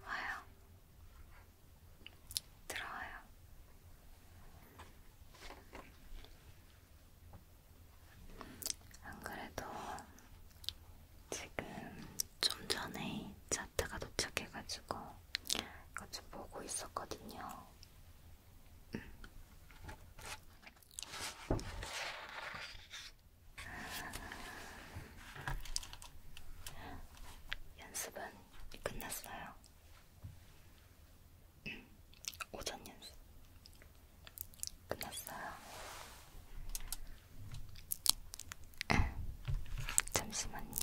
와요. 들어와요. 안 그래도 지금 좀 전에 차트가 도착해가지고 이거 좀 보고 있었거든요. 연습은 끝났어요. 음, 오전 연습 끝났어요. 음, 잠시만요.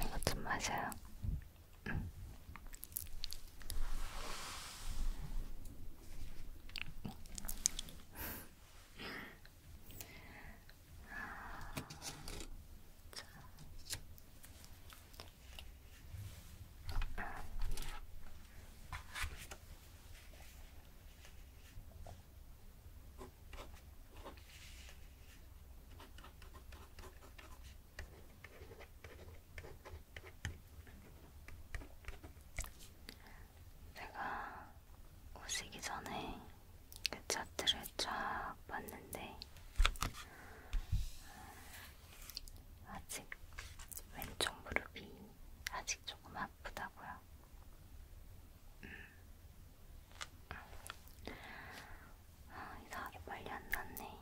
이거 좀 마셔요. 응. 음. 아, 자. 제가 오시기 전에 그 차트를 쫙 봤는데 아직 왼쪽 무릎이 아직 조금 아프다고요. 음. 아, 이상하게 빨리 안 났네.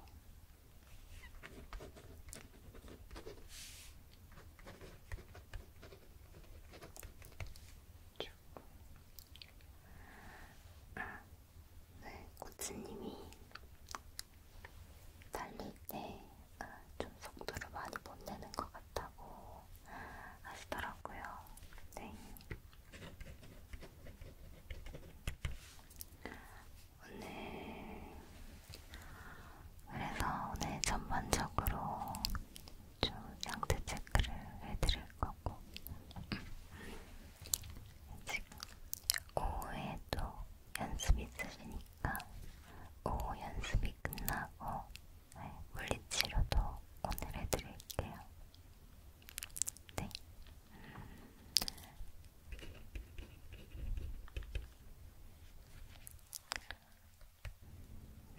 아, 네, 코치님이 달릴 때 좀 속도를 많이 못 내는 것 같다고 하시더라고요. 네. 오늘 그래서 오늘 전반적으로 좀 양태 체크를 해드릴 거고 지금 오후에도 연습 있으시니까 오후 연습이 끝나고 네, 물리치료도 오늘 해드릴게요. 네.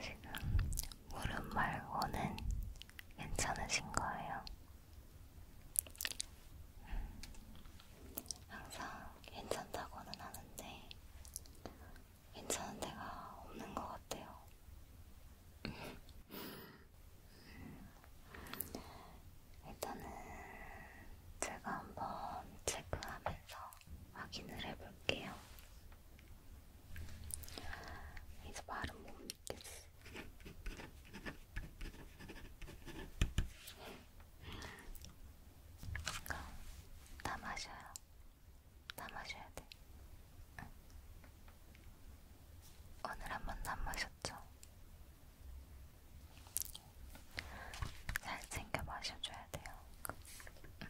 지금 무릎 말고는 괜찮으신 거예요. 항상 괜찮다고는 하는데 괜찮은 데가 없는 것 같아요. 일단은 제가 한번 체크하면서 확인을 해볼게요. 이제 말은 못 있겠어. 다 마셔요. 다 마셔야 돼. 응. 오늘 한 번도 안 마셨죠? 잘 챙겨 마셔줘야 돼요. 응.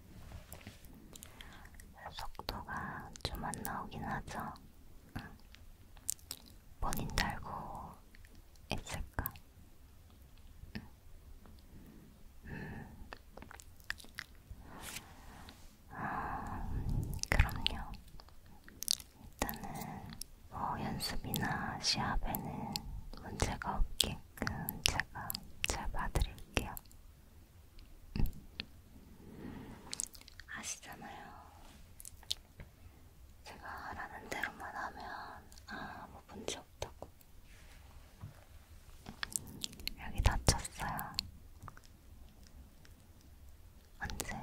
속도가 좀 안 나오긴 하죠. 응. 본인 달고 있을까? 응. 음. 아, 그럼요. 일단은 뭐 연습이나 시합에는 문제가 없게끔 제가 잘 봐드릴게요. 아시잖아요. 제가 하라는 대로만 하면 아무 뭐 문제 없다고. 여기 다쳤어요. 언제?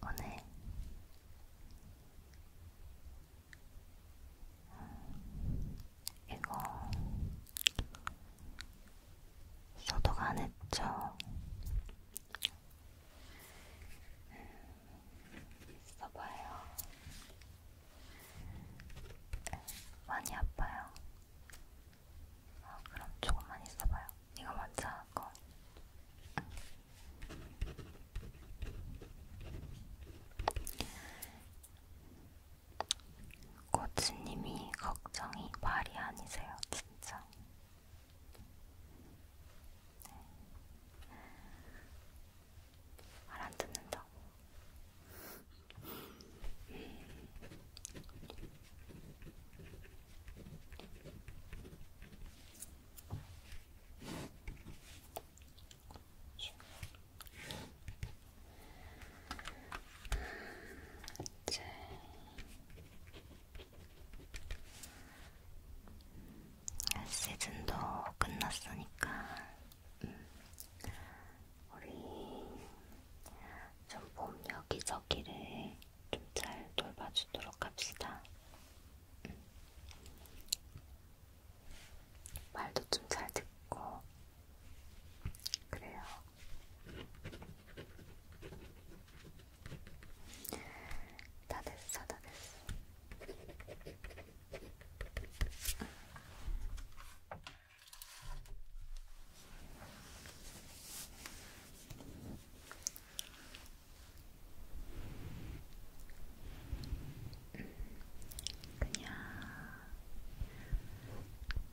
오늘? 음, 이거 소독 안 했죠. 써봐요. 많이 아파요. 아, 그럼 조금만 있어봐요. 이거 먼저 하고. 고치님이 걱정이 말이 아니세요, 진짜. 네. 말안 듣는다고. 음. 이제 시즌도 끝났으니까 음, 우리 좀 봄 여기저기를 좀 잘 돌봐주도록 합시다. 음. 말도 좀 잘 듣고 그래요. 다 됐어, 다 됐어. 그냥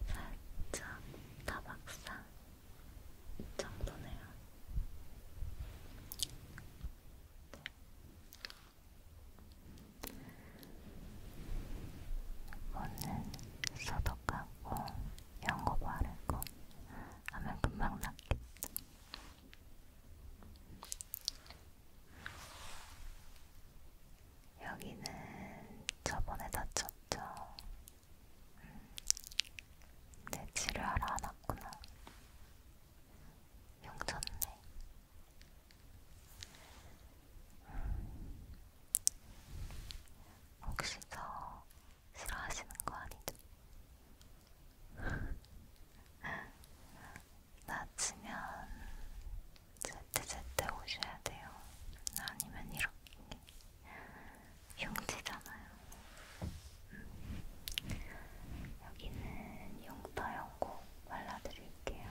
살짝 타박상 정도네요. 네. 오늘 소독하고 연고 바르고 하면 금방 낫겠다. 여기는 저번에 다쳤죠? 음, 내 치료하러 안 왔구나. 용졌네. 음, 혹시 저 싫어하시는 거 아니죠? 다치면 제때제때 오셔야 돼요. 아니면 이렇게 흉지잖아요. 여기는 용터 연고 발라드릴게요.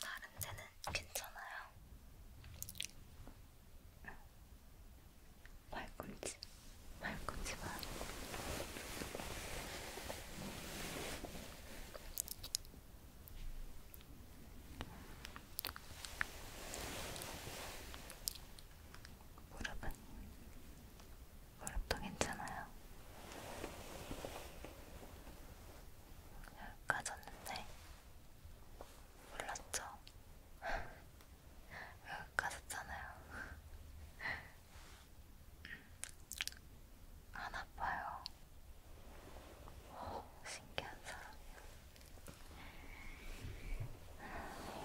다른 데는 괜찮아요. 발꿈치, 발꿈치 봐. 무릎은 무릎도 괜찮아요. 여기까졌는데 몰랐죠? 외국 갔었잖아요. 음. 안 아파요. 오, 어, 신기한 사람이야.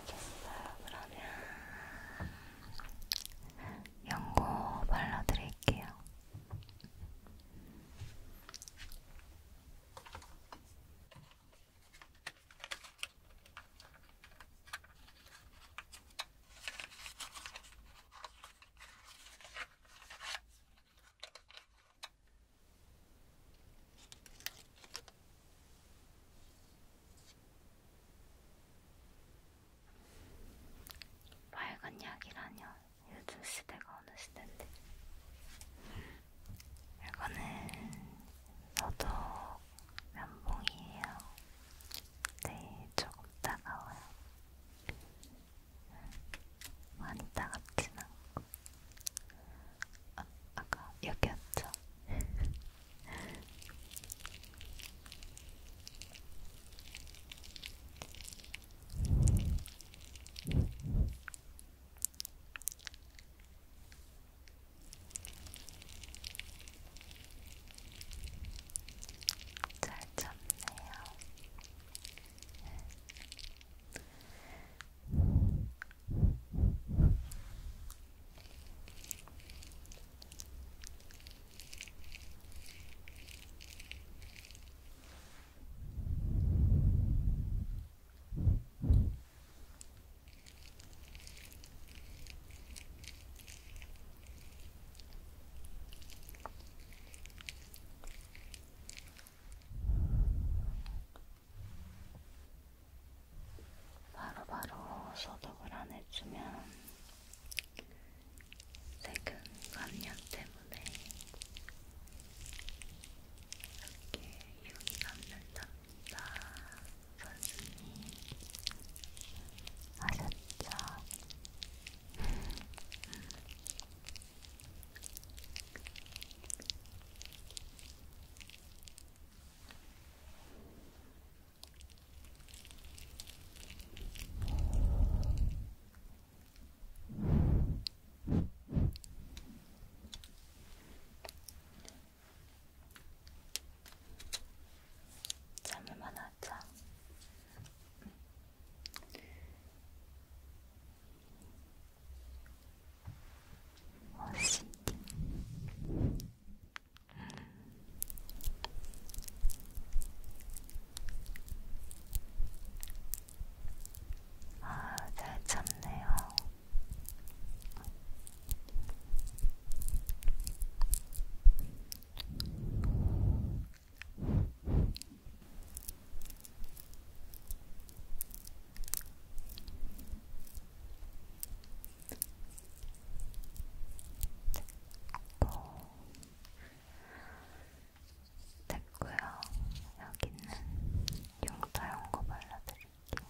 알겠어요. 그러면 연고 발라드릴게요. 빨간 약이라뇨. 요즘 시대가 어느 시대인데. 이거는 저도 면봉이에요. 네, 조금 따가워요. 음, 많이 따갑진 않고. 아, 아까 여기였죠? 잘 참네요. 바로바로 소독을 안 해주면 세균 감염 때문에 이렇게 유기 감염 담 선생님 음. 아셨죠? 잠을만 하자. 어시. 아, 잘 참네요. 됐고요. 여기는 용타용 거 발라드릴게요.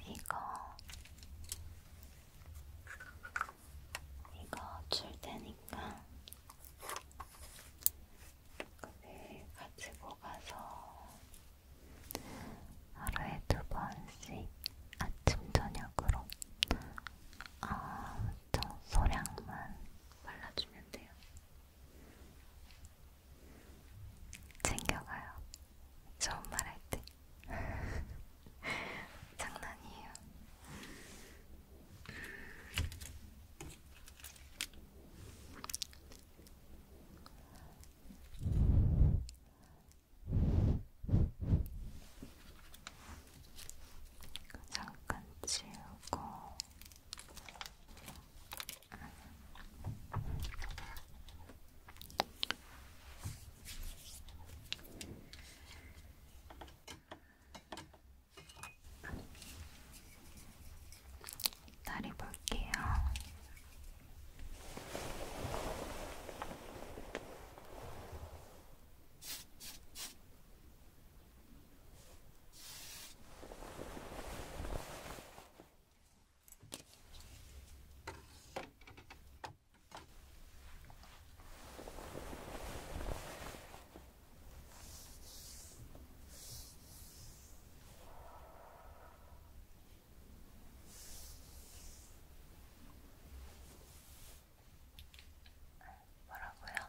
이거 이거 줄 테니까 그걸 가지고 가서 하루에 두 번씩 아침 저녁으로 어, 소량만 발라주면 돼요. 챙겨가요. 처음 말할 때. 장난이에요. 잠깐 지우고 다리 볼게요. 뭐라고요?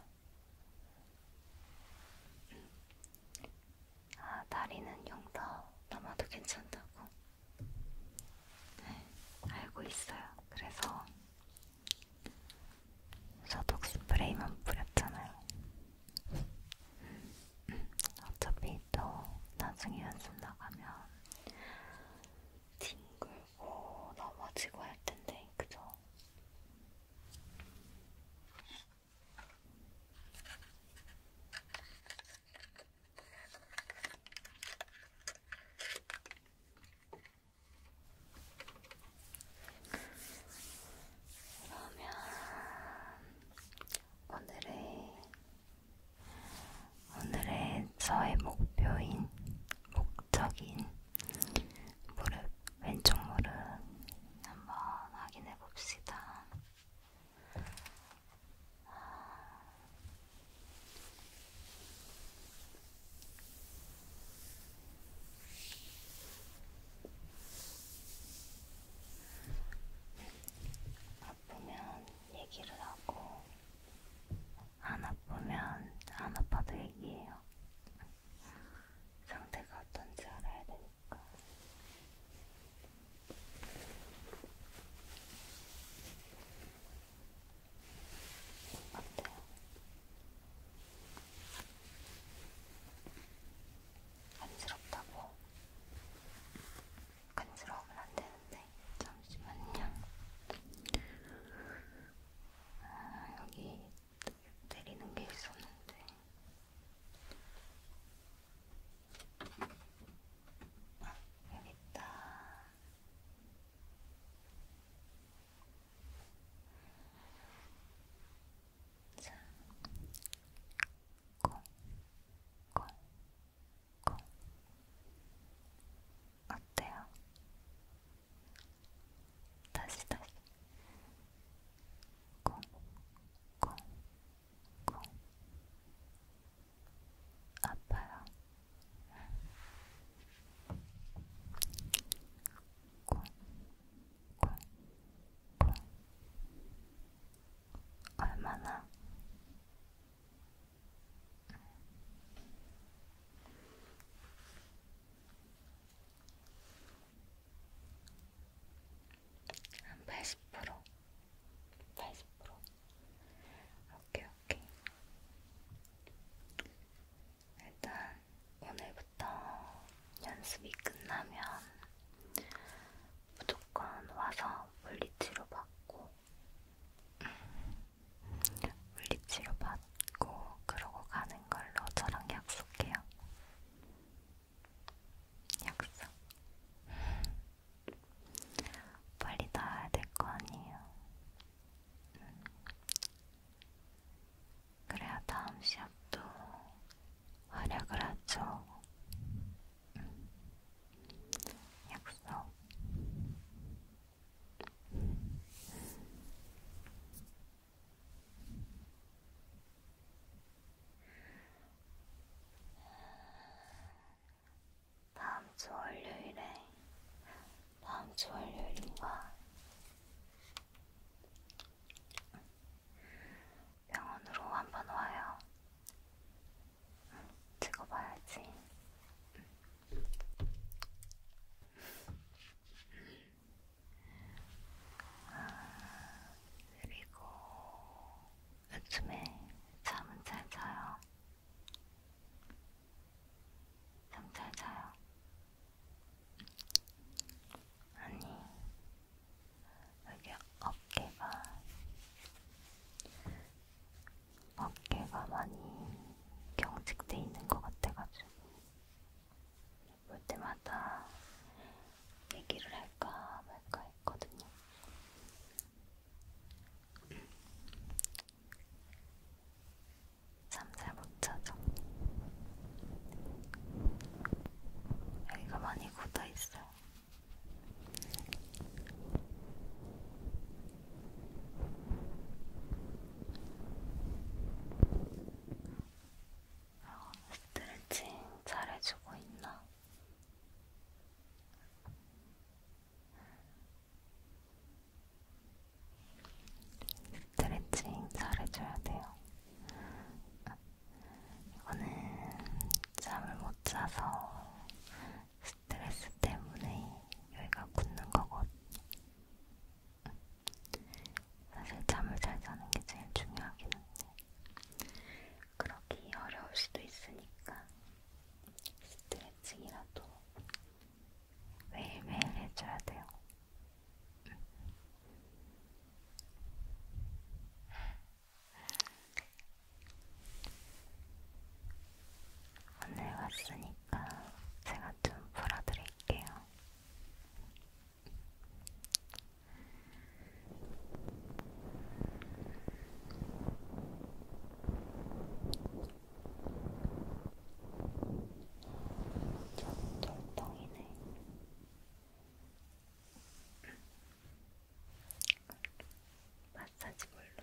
아, 다리는 용서 넘어도 괜찮다고 네, 알고 있어요. 그래서 소독 스프레이만 뿌렸잖아요. 음, 어차피 또 나중에 연습 나가면 뒹굴고 넘어지고 할 텐데, 그죠? 그러면 오늘의 오늘의 저의 목표인 목적인 무릎 왼쪽 무릎 한번 확인해 봅시다. 아프면 얘기를 하고, 안 아프면 안 아파도 얘기해요. 상태가 어떤지 알아야 되니까. 어때요? 간지럽다고? 간지러우면 안 되는데 잠시만요. 아, 여기 때리는 게 있었는데 여기다 자, 콩, 콩, 콩. 어때요? 다시 다시 콩, 콩, 있고 아파요. 콩, 콩, 콩. 얼마나 한 80%? 80%? 오케이, 오케이. 일단 오늘부터 연습이 끝나면 무조건 와서 물리치료 받고 물리치료 받고 그러고 가는 걸로 저랑 약속해요. 약속 빨리 나와야 될 거 아니에요. 음. 그래야 다음 시합도 활약을 하죠. 음. 약속. 음. 다음 주 월요일에 다음 주 월요일인가 병원으로 한번 와요. 응, 찍어봐야지. 응. 아, 그리고 요즘에 잠은 잘 자요. 잠 잘 자요. 아니, 여기 어깨가, 어깨가 많이 경직돼 있는 것 같아가지고, 볼 때마다 얘기를 할까 말까 했거든요. 잠잘 못자죠. 여기가 많이 굳어있어요. 어, 아, 스트레칭 잘해주고 있나? 스트레칭 잘해줘야 돼요. 이거는 잠을 못 자서 스트레스 때문에 여기가 굳는 거거든요. 사실 잠을 잘 자는 게 제일 중요하긴 한데 그러기 어려울 수도 있으니까 스트레칭이라도 매일매일 해줘야 돼요. 오늘 왔으니까 제가 좀 풀어드릴게요. 좀 음, 돌덩이네. 마사지 물로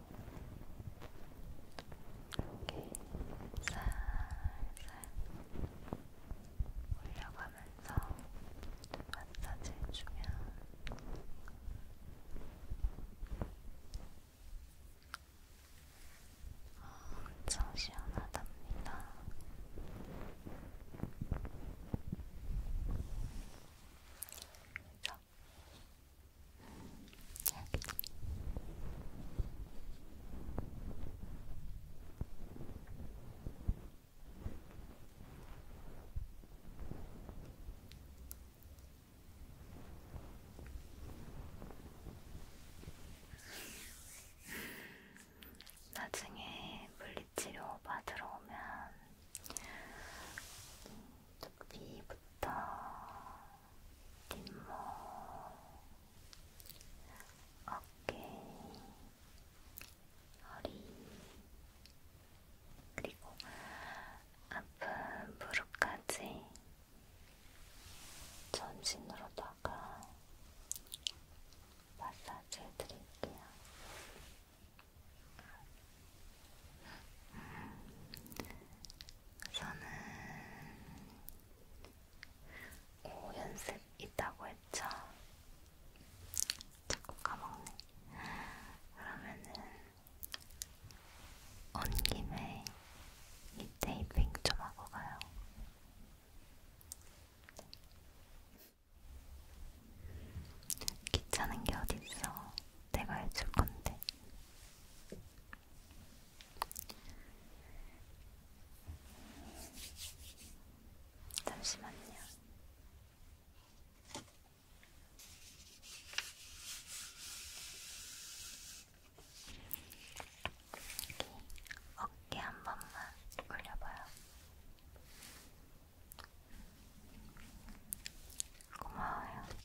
이렇게 살살 올려가면서 마사지 해주면 어, 엄청 시원하답니다. 자, 있어. 나중에 물리치료 받으러 오면 두피부터 뒷목, 어깨, 허리, 그리고 아픈 무릎까지 전신으로다가 마사지 해드릴게요. 저는 오후 연습 있다고 했죠? 자꾸 까먹네. 그러면은 온 김에 이 테이핑 좀 하고 가요. 귀찮은 게 어딨어. 내가 해줄 건데. 잠시만요. 여기 어깨 한 번만 올려봐요. 고마워요.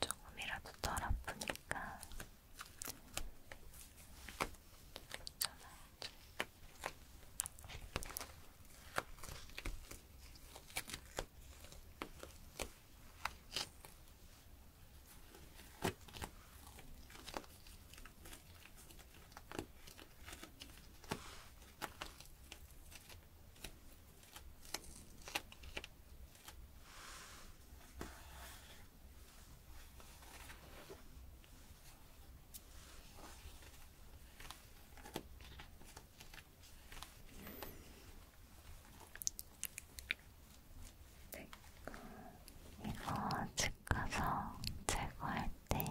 조금이라도 덜 아프니까 전화해줘. 이거 집 가서 제거할 때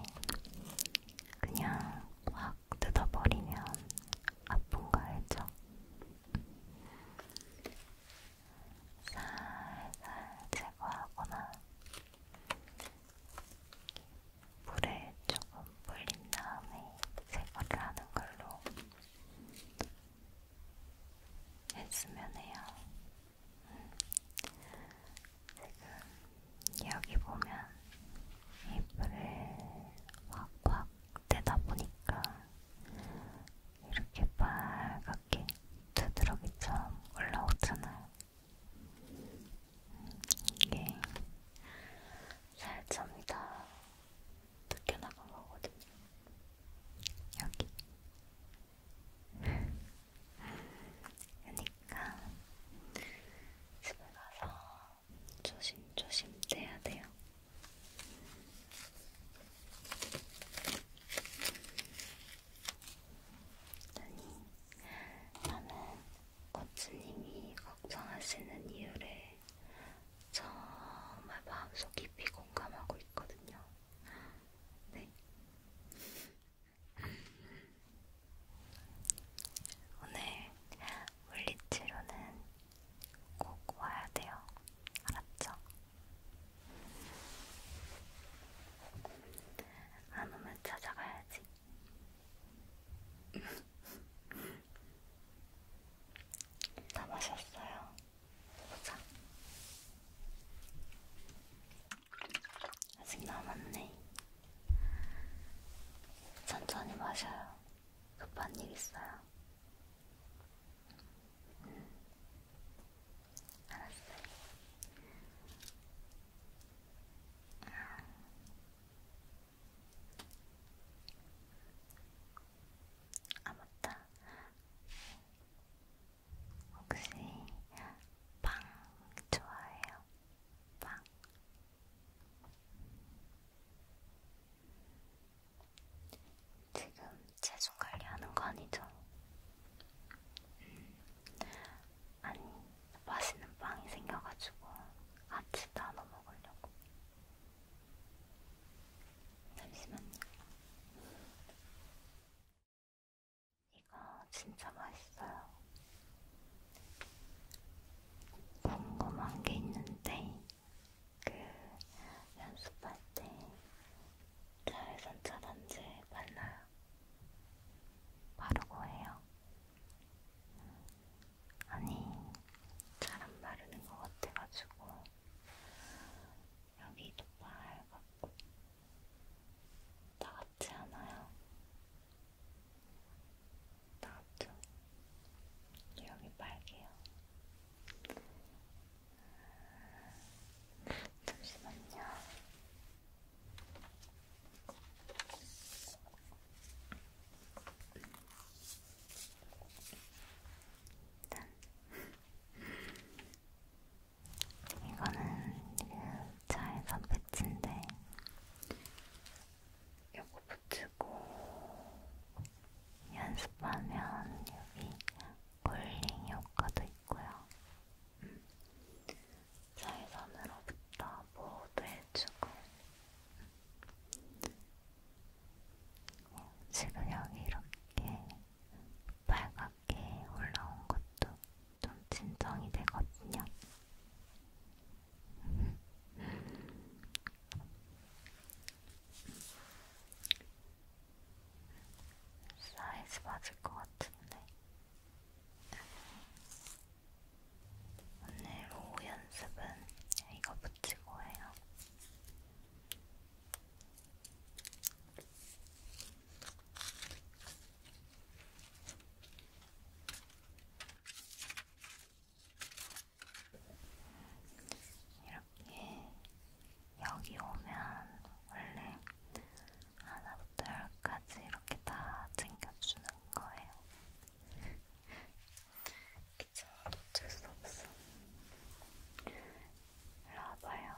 그냥 확 뜯어버리면 아픈 거 알죠? 살살 제거하거나 물에 조금 불린 다음에 제거를 하는 걸로 했으면 해요. 음. 지금 여기 보면 이불을 확확 대다 보니까 이렇게 빨갛게 두드러기처럼 올라오잖아요. 이게 살점이 다 뜯겨나간 거거든요. 여기. 그러니까 집에 가서 조심조심 떼야 돼요. 아니, 나는 코치님이 걱정하시는 이유를 정말 마음속 깊이 공감하고 있거든요. 네. 오늘 물리치료는 꼭 와야 돼요. 알았죠? 안 오면 찾아가야지. 다 마셨어요. 보자. 아직 남았네. 천천히 마셔요. 급한 일 있어요. 알았어요. 아 맞다. 혹시 빵 좋아해요? 빵? 지금 체중 관리하는 거 아니죠? 음. 아니, 맛있는 빵이 생겨가지고 아침 나눠 먹으려고. 잠시만요. 이거 진짜 맛있어요. 궁금한 게 있는데 그 연습할 때 자외선 차단제 발라요. 바르고 해요. 아니, 잘 안 바르는 것 같아가지고 여기도 빨갛고 다 같지 않아요? 나같죠? 여기 빨개요. 잠시만요. 일단 이거는 그 차에서 배치인데 요거 붙이고 연습하면 여기 쿨링 효과도 있고요. 음. 자외선으로부터 보호도 해주고 음. 지금 여기 이렇게 빨갛게 올라온 것도 좀 진정이 되거든요. 사이즈 맞을 것 같은데 오늘 오후 연습은 이거 붙이고 해요. 이렇게 여기 오면 원래 하나부터 열까지 이렇게 다 챙겨주는 거예요. 귀찮아도 어쩔 수 없어. 일로 와봐요.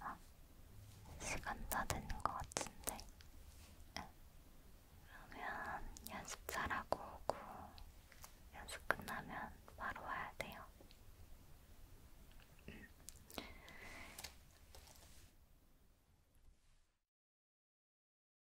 아, 시간 다 되는 것 같은데. 네. 그러면 연습 잘하고 오고 연습 끝나면 바로 와야 돼요. 음.